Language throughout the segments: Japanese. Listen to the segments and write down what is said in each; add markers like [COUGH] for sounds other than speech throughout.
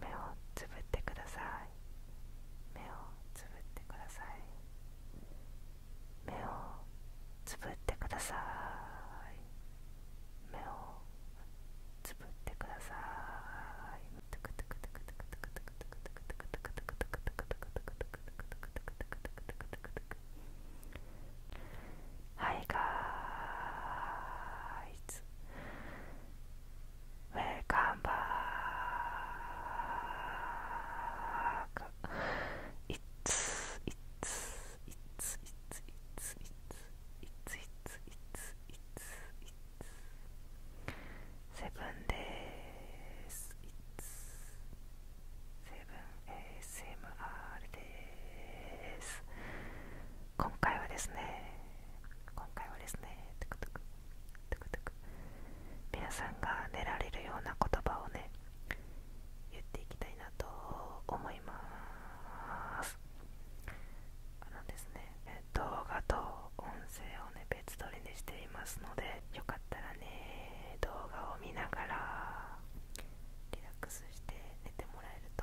目をつぶってください目をつぶってください目をつぶってください目をつぶってくださいはいガーイズウェルカムバークイッツイッツイッツイッツイッツイッツイッツイッツイッツイッツイッツセブンですイッツセブン ASMR です今回はですね今回はですねトゥクトゥクトゥクトゥク皆さんが寝られるような言葉をね言っていきたいなと思いますあのですね動画と音声をね別撮りにしていますのでよかったらね動画を見ながらリラックスして寝てもらえると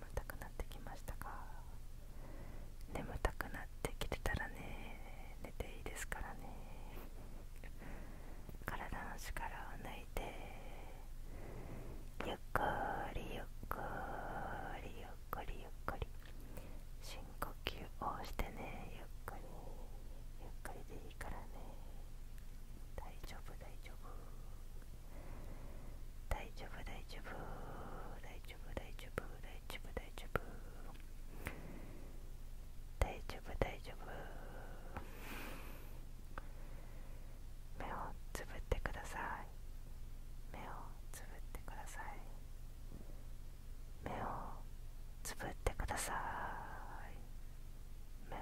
眠たくなってきましたか眠たくなってきてたらね寝ていいですからね体の力を抜いてゆっくりゆっくりゆっくりゆっくり深呼吸をしてねゆっくりゆっくりでいいからね大丈夫大丈夫大丈夫大丈夫大丈夫大丈夫大丈夫大丈夫大丈夫大丈夫目をつぶってください目をつぶってください目をつぶってください目を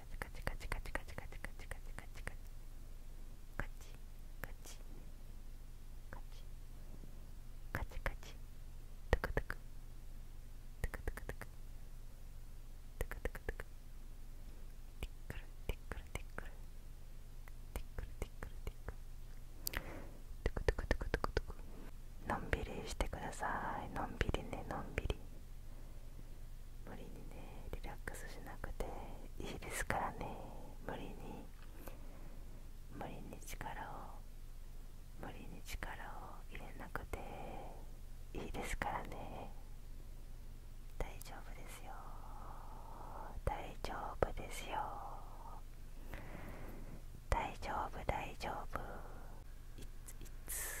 チカチカチカチカチカチカチカチカチカチカチカチカチカチカチトクトクトクトクトクトクトクトクティックルティックルティックルティックルティックルティックルトゥクトゥクトゥクトゥクトゥクのんびりしてくださいのんびりねのんびり無理にねリラックスしなくていいですからね無理に無理に力を無理に力を入れなくていいですからね大丈夫ですよ大丈夫ですよ大丈夫大丈夫いついつ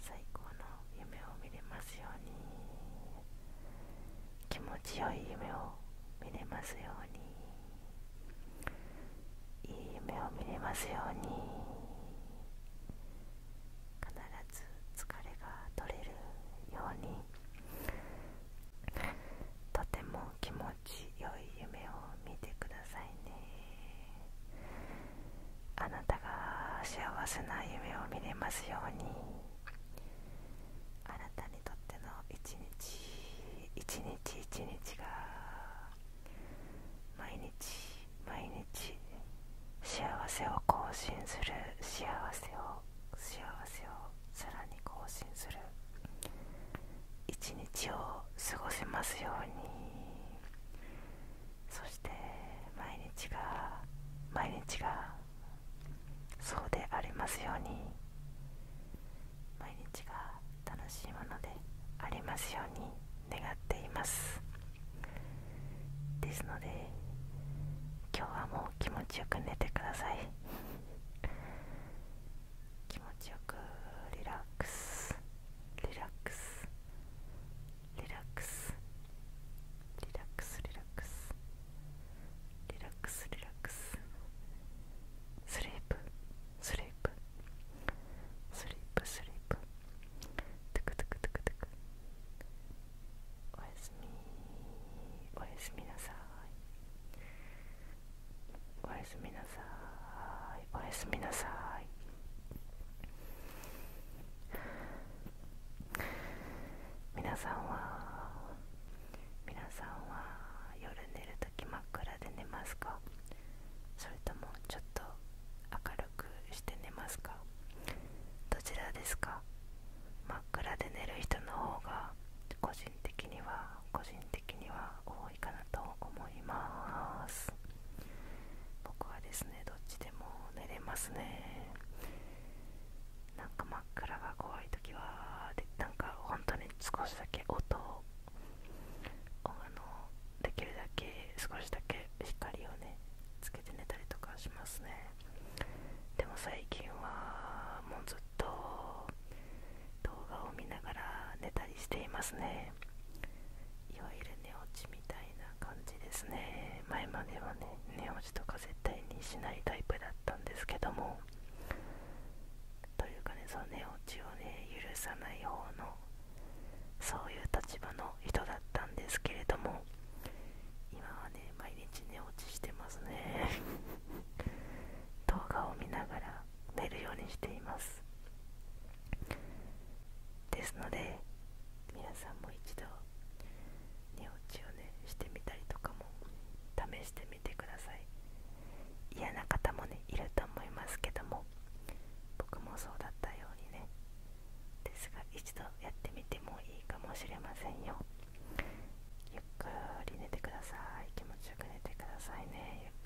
最高の夢を見れますように気持ちよい夢を見れますようにいい夢を見れますように必ず疲れが取れるようにとても気持ちよい夢を見てくださいねあなたが幸せな夢を見れますようにあなたにとっての一日一日一日が毎日毎日幸せを更新する幸せを幸せをさらに更新する一日を過ごせますようにそして毎日が毎日がそうでありますように毎日が楽しいものでありますように願っていますですので今日はもう気持ちよく寝てください [LAUGHS] 気持ちよくリラックスリラックスリラックスリラックスリラックスリラックスリラックススリープスリープスリープスリープトゥクトゥクトゥクトゥクおやすみおやすみなさいおやすみなさいおやすみなさい皆さんは皆さんは夜寝る時真っ暗で寝ますかそれともちょっと明るくして寝ますかどちらですか真っ暗で寝る人の方が個人的には個人的には多かなと思います僕はですねどっちでも寝れますねなんか真っ暗が怖い時はでなんか本当に少しだけ音をあのできるだけ少しだけ光をねつけて寝たりとかしますねでも最近はもうずっと動画を見ながら寝たりしていますねいわゆる寝落ちみたいな感じですね前まではね寝落ちとか絶対にしないタイプだったんですけどもというかねその寝落ちをね許さない方のそういう立場の人だったんですけれども今はね毎日寝落ちしてますね [LAUGHS] 動画を見ながら寝るようにしていますですので皆さんも一度寝落ちをねしてみたりとかも試してみてください嫌な方もねいると思いますけども僕もそうだったようにねですが一度やってみてもいいかもしれませんよゆっくり寝てください気持ちよく寝てくださいねゆっ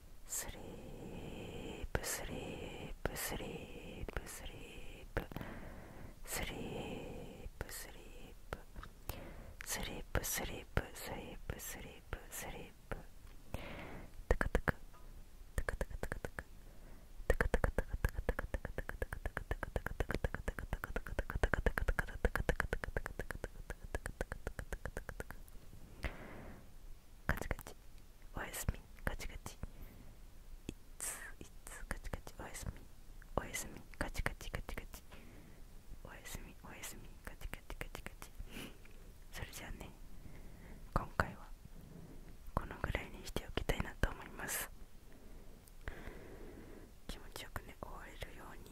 sleep, sleep, sleep, sleep, sleep, sleep, sleep, sleep, sleep, sleep, sleep, taka taka, taka taka taka taka, taka taka taka taka taka taka taka taka taka taka taka taka taka カチカチおやすみカチカチいついつカチカチおやすみおやすみカチカチカチカチおやすみおやすみカチカチカチカチそれじゃあね今回はこのぐらいにしておきたいなと思います気持ちよくね終われるように